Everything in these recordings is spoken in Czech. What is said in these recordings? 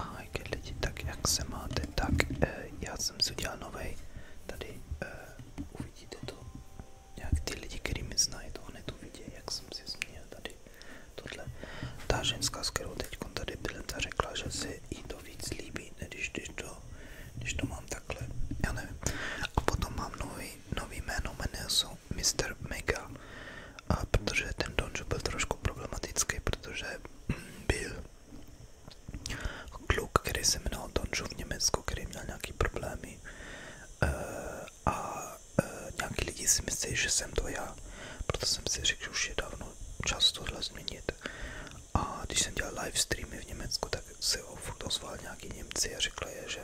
Ahojky lidi, tak jak se máte, tak eh, já jsem si tady eh, uvidíte to, jak lidi, který mi znají, to hned uvidí, jak jsem si změnil tady tohle. Ta ženská, s teď tady byl, ta řekla, že se jí to víc líbí, než když to, když to mám takhle, já A potom mám nový, nový jméno, jmenuje jsou Mr. Mega, a protože ten Donju byl trošku problematický, protože byl kluk, který se jmenoval Donju v Německu, který měl nějaký problémy eh, a eh, nějaký lidi si myslí, že jsem to já, proto jsem si řekl, že už je dávno čas tohle změnit. A když jsem dělal live streamy v Německu, tak se furt ozval nějaký Němci a řekli, že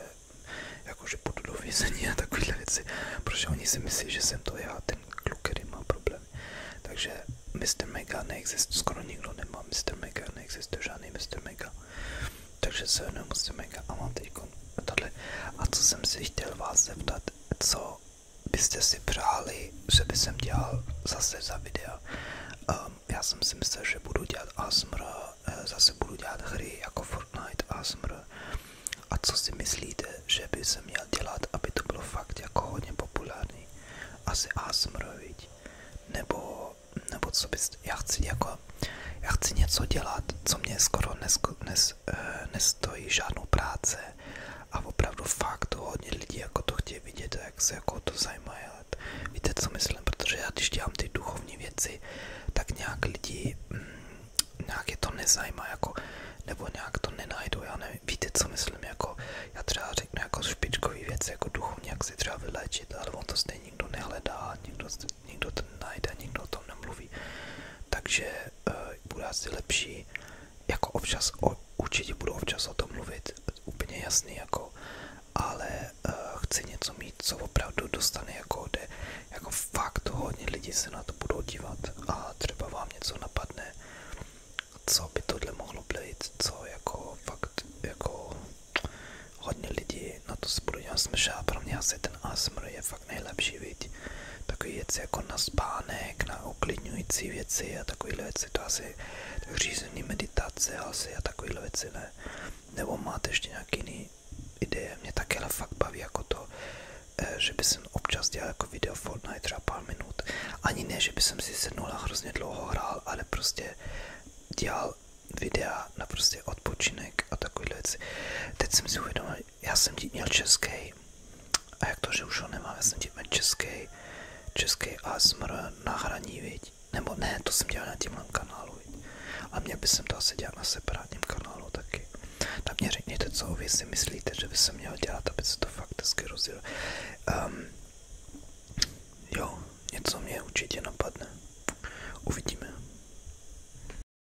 jakože půjdu do vězení a takovéhle věci, protože oni si myslí, že jsem to já, ten kluk, který má problémy. Takže Mr. Mega neexistuje, skoro nikdo nemá Mr. Mega, neexistuje žádný Mr. Mega. Takže se jmenuji Mr. Mega a mám teď tohle. A co jsem si chtěl vás zeptat, co byste si přáli, že by jsem dělal zase za videa. Um, já jsem si myslel, že budu dělat ASMR Eh, zase budu dělat hry jako Fortnite a smr. A co si myslíte, že by se měl dělat, aby to bylo fakt jako hodně populární? Asi ASMR, viď? Nebo, nebo co bys, já chci jako, já chci něco dělat, co mě skoro nesko, nes, nes, eh, nestojí žádnou práce a opravdu fakt to hodně lidí jako to chtějí vidět jak se jako to zajímá. Víte, co myslím, protože já když dělám ty duchovní věci, tak nějak lidi, mm, nějak je to nezajímá, jako, nebo nějak to nenajdu, já nevím, víte, co myslím, jako, já třeba řeknu jako špičkový věci, jako duchovní, jak si třeba vylečit, ale on to stejně nikdo nehledá, nikdo, nikdo to najde, nikdo o tom nemluví, takže uh, bude asi lepší jako občas, o, určitě budu občas o tom mluvit, úplně jasný jako, ale uh, chci něco mít, co opravdu dostane jako, kde jako fakt hodně lidí se na to budou dívat a třeba vám něco napadne, co by tohle mohlo být, co jako fakt jako hodně lidí na to se budou dělat smrš a pro mě asi ten ASMR je fakt nejlepší, vidět takové věci jako na spánek, na uklidňující věci a takové věci, to asi řízený meditace asi a takovéhle věci ne. Nebo máte ještě nějaký jiný ideje? Mě také ale fakt baví jako to, eh, že by jsem občas dělal jako video Fortnite třeba pár minut. Ani ne, že by jsem si sednul a hrozně dlouho hrál, ale prostě dělal videa na prostě odpočinek a takovéhle věci. Teď jsem si uvědomil, já jsem ti měl český, a jak to, že už ho nemám, já jsem ti měl český, český ASMR na hraní, viď? Nebo ne, to jsem dělal na tímhle kanálu, viď? A mě by jsem to asi dělat na separátním kanálu taky. Tak mě řekněte, co vy si myslíte, že by se měl dělat, aby se to fakt hezky rozjelo. Um, jo, něco mě určitě napadne. Uvidíme.